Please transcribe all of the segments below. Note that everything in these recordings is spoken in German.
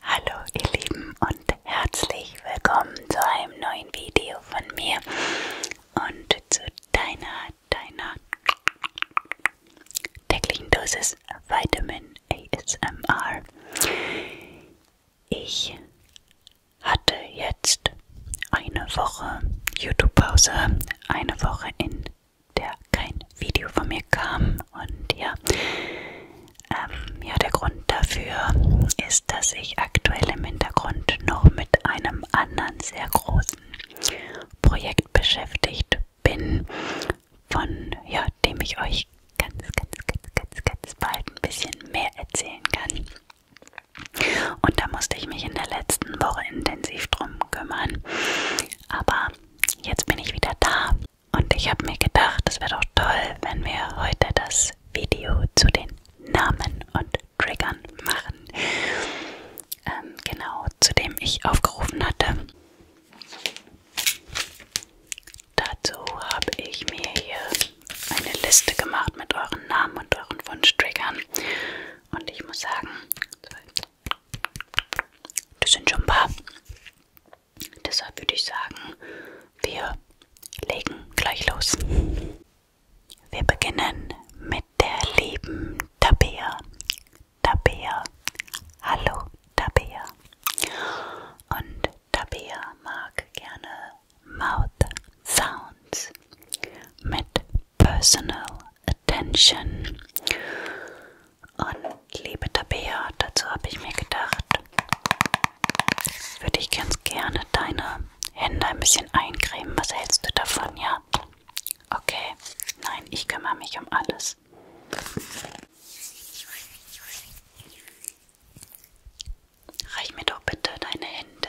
Hallo ihr Lieben und herzlich willkommen zu einem neuen Video von mir und zu deiner, deiner täglichen Dosis Vitamin ASMR. Ich hatte jetzt eine Woche YouTube-Pause, eine Woche in der kein Video von mir kam. Und ja, ähm, ja, der Grund dafür ist, dass ich aktuell im Hintergrund noch mit einem anderen sehr großen Projekt beschäftigt bin, von ja, dem ich euch ganz, ganz, ganz, ganz, ganz bald ein bisschen mehr erzählen kann. Und da musste ich mich in der letzten Woche intensiv drum kümmern. Aber jetzt bin ich wieder da und ich habe mir gedacht, es wäre doch toll, wenn wir heute das Video zu den Namen und Triggern machen. Ähm, genau, zu dem ich aufgerufen hatte. Dazu habe ich mir hier eine Liste gemacht mit euren Namen und euren Wunschtriggern. Und ich muss sagen, das sind schon ein paar. Deshalb würde ich sagen, wir legen gleich los. Wir beginnen mit der lieben Tabea. Tabea. Hallo Tabea. Und Tabea mag gerne Mouth Sounds mit Personal Attention. Und liebe Tabea, dazu habe ich mir gedacht, würde ich ganz gerne deine Hände ein bisschen eincremen. Was hältst du davon, ja? Okay, nein, ich kümmere mich um alles. Reich mir doch bitte deine Hände.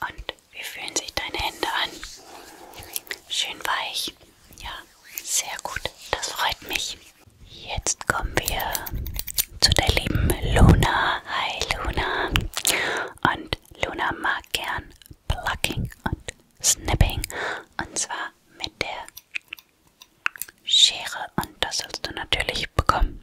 Und wie fühlen sich deine Hände an? Schön weich. Ja, sehr gut. Das freut mich. Jetzt kommen wir zu der lieben Luna. Hi Luna. Und Luna mag gern Plucking und Snipping. Und zwar mit der Schere. Und das sollst du natürlich bekommen.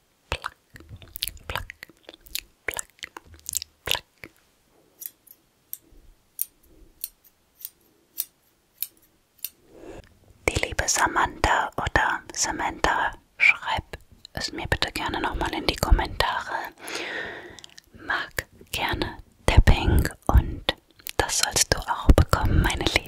Plack, plack, plack, plack. Die liebe Samantha oder Samantha, schreib es mir bitte gerne nochmal in die Kommentare. Mag gerne Tapping und das sollst du auch bekommen, meine Liebe.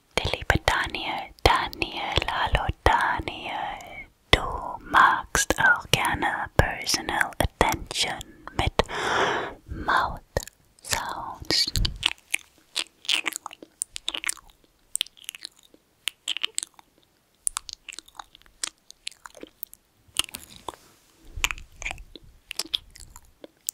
Liebe Daniel, Daniel, hallo Daniel. Du magst auch Personal Attention mit mouth Sounds.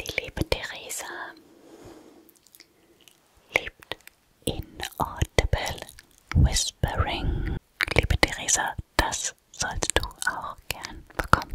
Die liebe Theresa liebt Inaudible Whispering. Liebe Theresa, das sollst du auch gern bekommen.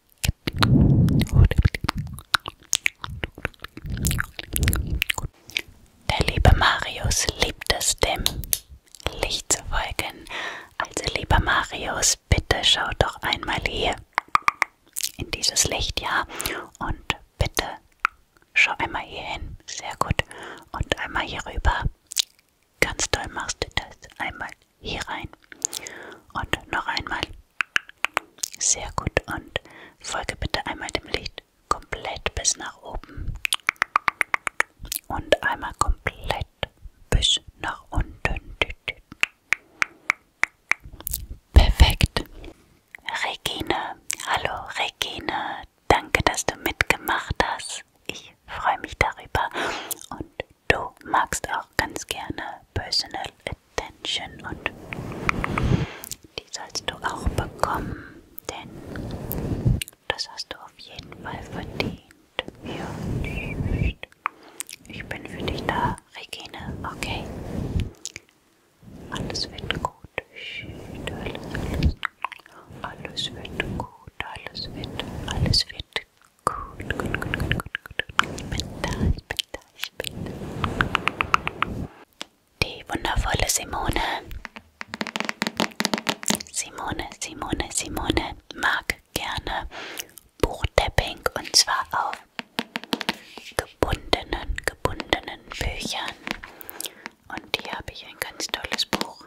Der liebe Marius liebt es, dem Licht zu folgen. Also lieber Marius, bitte schau doch einmal hier in dieses Licht, ja. Und bitte schau einmal hier hin. Sehr gut. Und einmal hier rüber. Ganz toll machst du das. Einmal hier rein. Und noch einmal. Sehr gut. Und folge bitte einmal dem Licht komplett bis nach oben. Und einmal komplett bis nach unten. Perfekt. Regine, hallo Regine, danke, dass du mitgemacht hast. Ich freue mich darüber und du magst auch ganz gerne Personal Attention und die sollst du auch bekommen, denn das hast du auf jeden Fall verdient. Ja. Ich bin für dich da, Regine, okay? Alles wird gut. Alles, alles, alles wird gut, alles wird, alles wird Gut, gut, gut, gut, gut, gut. Ich bin da, ich bin da, ich bin da. Die wundervolle Simone. Simone, Simone, Simone mag gerne Buchtapping und zwar auf gebundenen, gebundenen Büchern. Und hier habe ich ein ganz tolles Buch.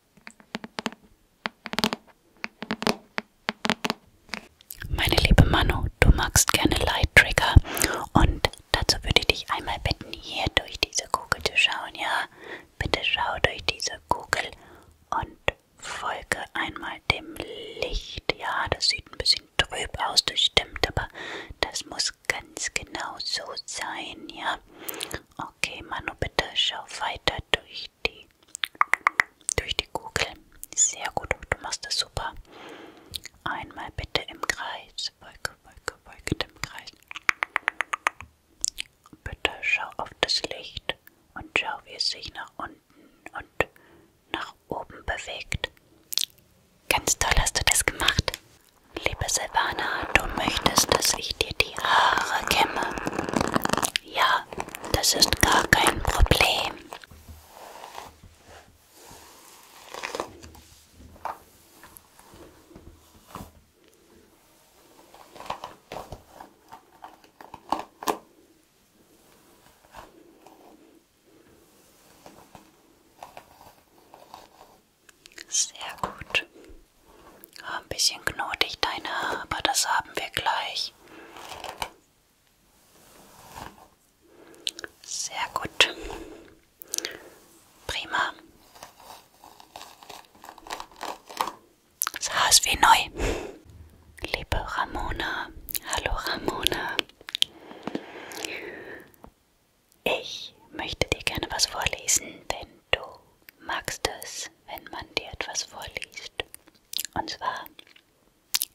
Meine liebe Manu, du magst gerne Light Trigger und dazu würde ich dich einmal bitten, hier durch diese Kugel zu schauen, ja? Bitte schau durch diese Kugel und folge einmal dem Licht. Ja, das sieht ein bisschen trüb aus, das stimmt, aber das muss ganz genau so sein, ja? Okay, Manu, bitte schau weiter durch die, durch die Kugel. Sehr gut, du machst das super. Einmal bitte im Kreis. Wolke, Wolke, Wolke im Kreis. Bitte schau auf das Licht und schau, wie es sich nach unten und nach oben bewegt. Ganz toll hast du das gemacht. Liebe Silvana, du möchtest, dass ich dir die Haare kämme. Ja, das ist gar kein Problem. Sehr gut. Ah, ein bisschen knotig deine Haare, aber das haben wir gleich. Sehr gut. Prima. Das Haar ist wie neu. Liebe Ramona. Hallo Ramona. Ich möchte dir gerne was vorlesen, denn du magst es, wenn man dir etwas vorliest. Und zwar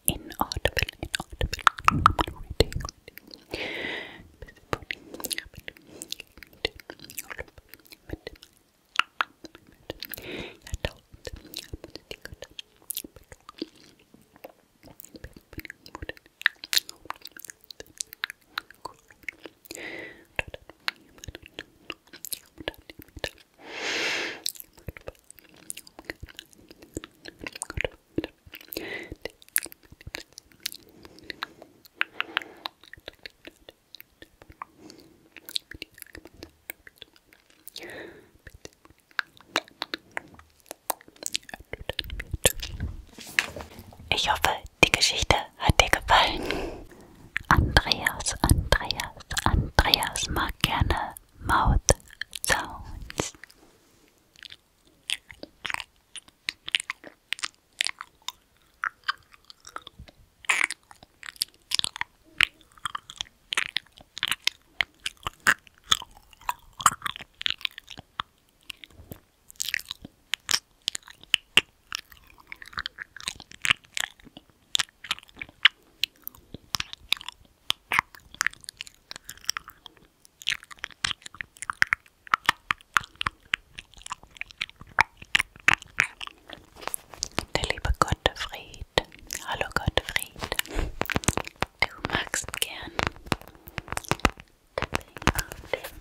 in Audible, in Audible, Reading, mit ich hoffe, die Geschichte hat dir gefallen. Andreas, Andreas, Andreas mag gerne Mautsounds. Der liebe Gottfried. Hallo Gottfried. Du magst gern Tapping auf dem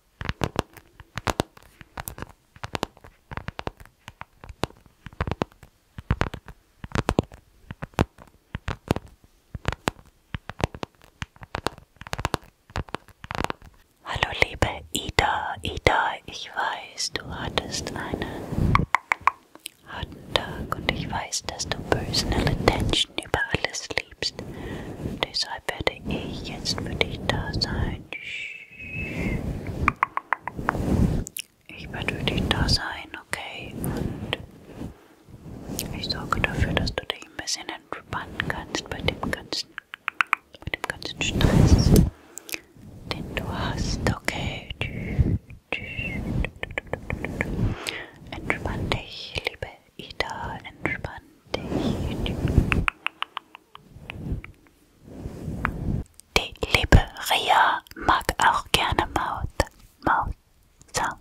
Hallo liebe Ida, Ida, ich weiß, du hattest einen harten Tag und ich weiß, dass du personal attention über alles liebst liebst. Deshalb werde ich jetzt für dich da sein. Ich werde für dich da sein, okay? Und ich sorge dafür, dass du dich ein bisschen entspannen kannst bei dem ganzen, bei dem ganzen Stress, den du hast, okay? Entspann dich, liebe Ida, entspann dich. Die liebe Ria mag auch gerne Maut. Maut. Sound.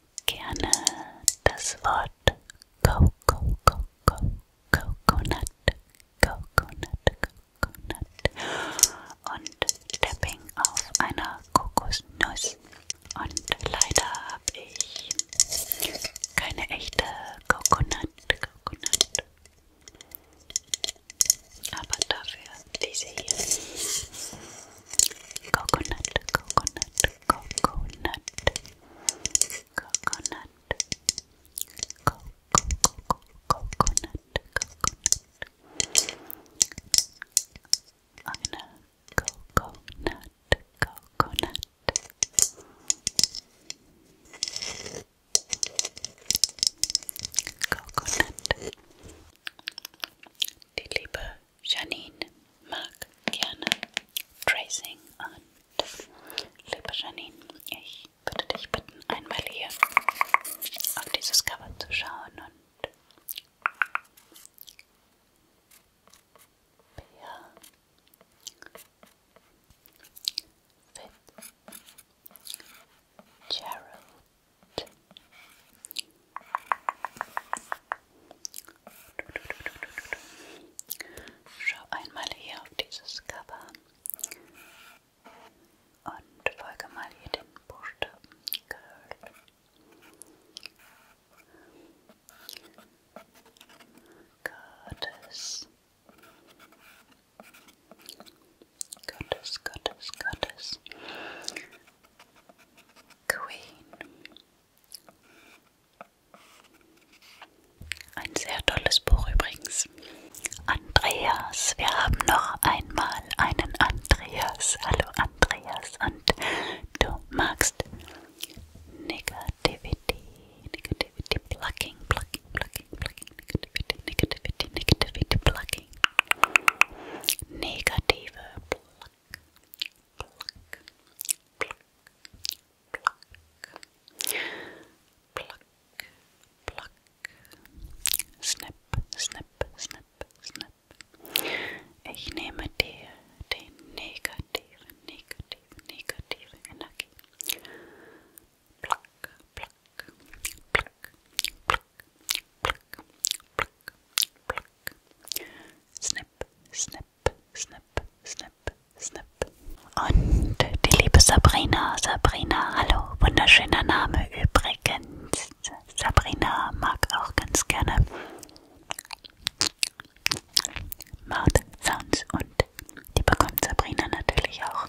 gerne das Wort Coco, Coco, Coco, Coconut, Coconut, Coconut und Tapping auf einer Kokosnuss. Und leider habe ich keine echte Coconut, Coconut. Aber dafür diese hier. Coconut, Coconut, coconut coconut co co co coconut coconut I'm gonna coconut coconut coconut die Liebe Janine mag gerne Tracing und liebe Janine, ich würde dich bitten, einmal hier auf dieses Cover zu schauen und ja, Fit Gerald Schau einmal hier auf dieses Cover und folge mal hier den Buchstaben Girl. Gottes. Gottes, Gottes, Gottes. Queen. Ein sehr tolles Buch übrigens. Andreas, wir haben noch einmal einen Andreas. Hallo Andreas und du magst Negativity, Negativity, Plucking, Plucking, Plucking, Plucking, Negativity, Negativity, Negativity, Plucking. Negative, Pluck, pluck, pluck, pluck, pluck, pluck, snip, snip, snip, snip. Ich nehme dir den negativen, negativen, negativen pluck, pluck, pluck, pluck, pluck, pluck, pluck, pluck. Snip, snip, snip, snip, snip. Und die liebe Sabrina, Sabrina, hallo, wunderschöner Name übrigens. Sabrina mag auch ganz gerne Mouth Sounds und die bekommt Sabrina natürlich auch.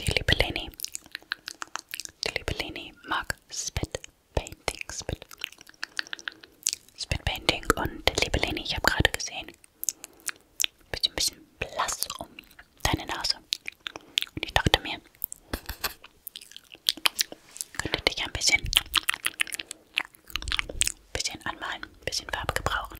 Die liebe Leni. Die liebe Leni mag Spit Painting. Spit, Spit Painting. Und liebe Leni, ich habe gerade gesehen, bist ein bisschen blass um deine Nase. Und ich dachte mir, könnte dich ein bisschen, bisschen anmalen, ein bisschen Farbe gebrauchen.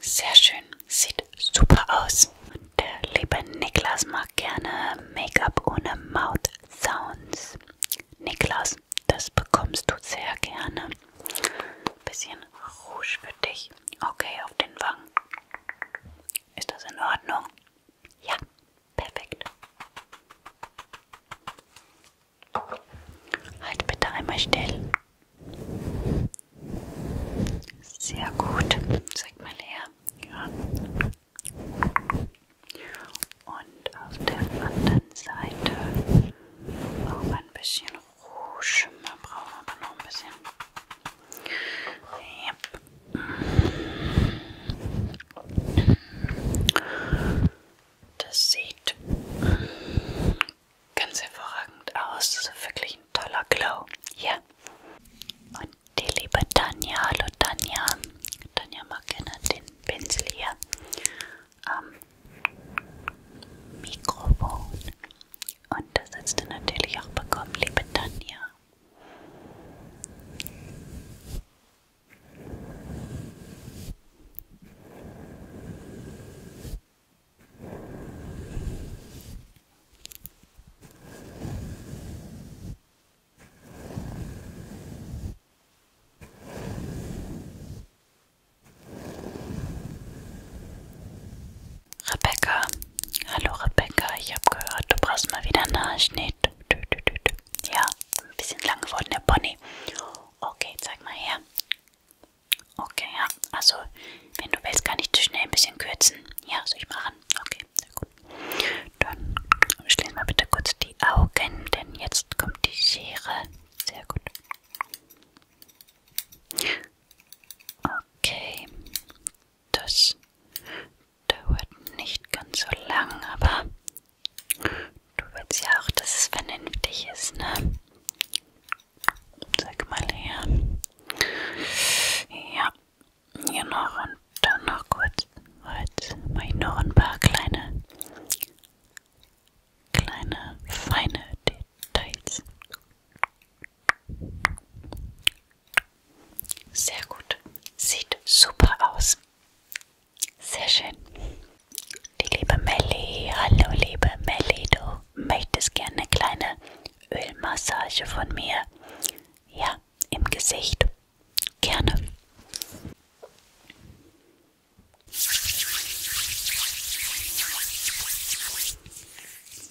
Sehr schön. Sieht super aus. Der liebe Niklas mag gerne Make-up ohne Mouth Sounds. Niklas, das bekommst du sehr gerne. Ein bisschen Rouge für dich. Okay, auf den Wangen. Ist das in Ordnung? Ja, perfekt. Halt bitte einmal still. Sehr gut. Zeig mal her. Ja. Und auf der anderen Seite auch ein bisschen Rouge. Wir brauchen aber noch ein bisschen. Yep. Das sieht ganz hervorragend aus. Das ist wirklich ein toller Glow. Ja. Und die liebe Tanja, hallo Tanja. Tanja mag gerne den Pinsel hier am Mikrofon. Und das hast du natürlich auch bekommen, liebe Tanja. Rebecca, hallo Rebecca, ich habe gehört, du brauchst mal wieder Nasenschnitt. Ja, ein bisschen lang geworden, der Pony. Okay, zeig mal her. Okay, ja. Also, wenn du willst, kann ich zu schnell ein bisschen kürzen. Ja, soll ich machen? Okay, sehr gut. Dann schließ mal bitte kurz die Augen, denn jetzt kommt die Schere. Sehr gut. Okay, das dauert nicht ganz so lang, aber du willst ja auch, dass es vernünftig ist, ne? Zeig mal her. Ja, hier noch und dann noch kurz. Jetzt mache ich noch ein paar kleine, kleine, feine Details. Sehr gut. Sieht super aus. Sehr schön. Die liebe Melli. Hallo liebe Melli, du möchtest gerne eine kleine Ölmassage von mir? Ja, im Gesicht. Gerne.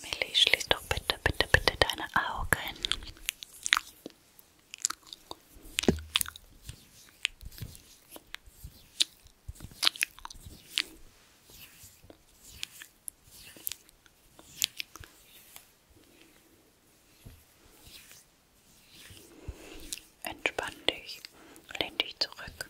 Millie, schließ doch bitte, bitte, bitte deine Augen. Entspann dich, lehn dich zurück.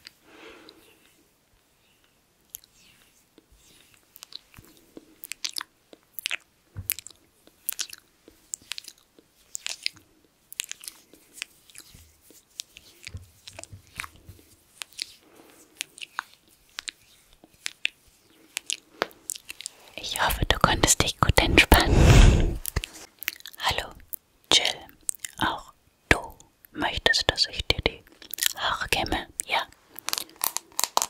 Ich hoffe, du konntest dich gut entspannen. Hallo, Jill. Auch du möchtest, dass ich dir die Haare kämme? Ja.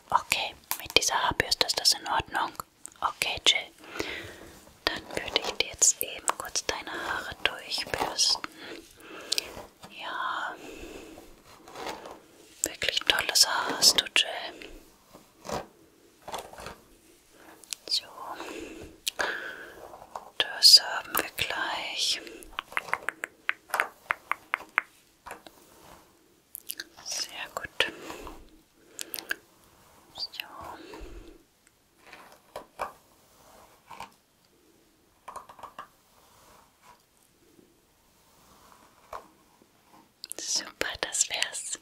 Okay, mit dieser Haarbürste ist das in Ordnung. Okay, Jill. Dann würde ich dir jetzt eben kurz deine Haare durchbürsten. Ja, wirklich tolles Haar hast du, Jill. So, das haben wir gleich. Sehr gut. So. Super, das wär's.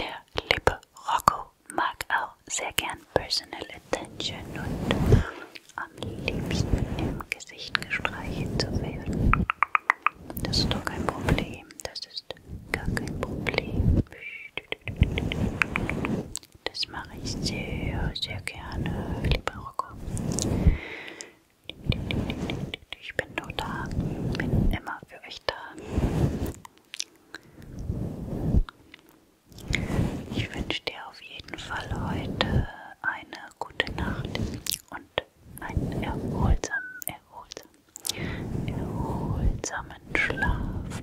Der liebe Rocco mag auch sehr gern Personal Attention und am liebsten im Gesicht gestreichelt zu werden. Das ist doch kein Problem. Das ist gar kein Problem. Psst. Das mache ich sehr, sehr gerne, lieber Rocco. Ich bin nur da, bin immer für euch da. Ich wünsche dir auf jeden Fall heute eine gute Nacht und einen erholsamen, erholsamen, erholsamen Schlaf.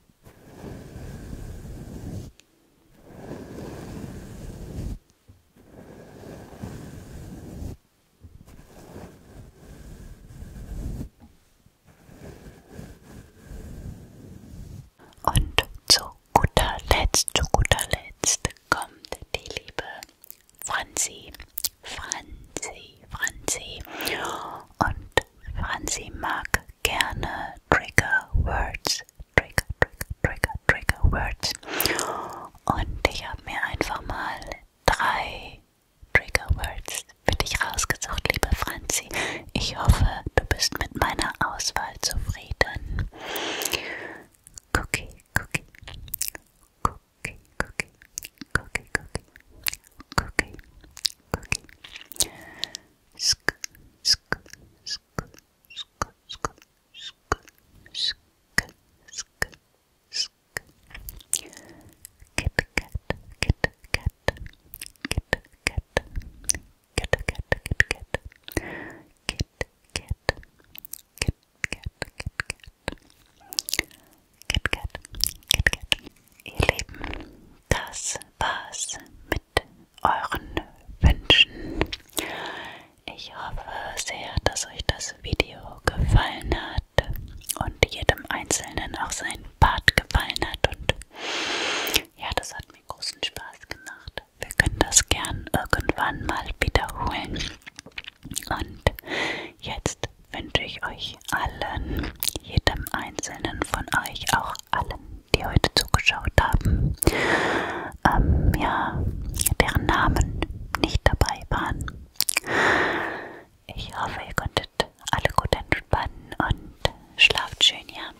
Und zu guter Letzt, zu guter Letzt kommt die liebe Franzi, Franzi, Franzi. Und Franzi mag gerne Trigger Words. Trigger, Trigger, Trigger, Trigger Words. Und ich habe mir einfach mal drei Trigger Words für dich rausgesucht, liebe Franzi. Ich hoffe, du bist mit meiner Auswahl zufrieden. Cookie, Cookie, Cookie, Cookie, cookie, cookie, cookie, cookie. Sk, sk, sk, sk, sk, sk, sk, sk, sk. Kit kat, kit kat, kit kat, kit kat, kit kat, kit kat, kit kat, kit kat, kit kat. KitKat, KitKat. Ihr Lieben, das war's mit euren Wünschen. Ich hoffe sehr, dass euch das Video gefallen hat und jedem Einzelnen auch sein Part gefallen hat. Und ja, das hat mir großen Spaß gemacht. Wir können das gern irgendwann mal wiederholen. Und Jetzt wünsche ich euch allen, jedem einzelnen von euch, auch allen, die heute zugeschaut haben, ähm, ja, deren Namen nicht dabei waren. Ich hoffe, ihr konntet alle gut entspannen und schlaft schön, ja.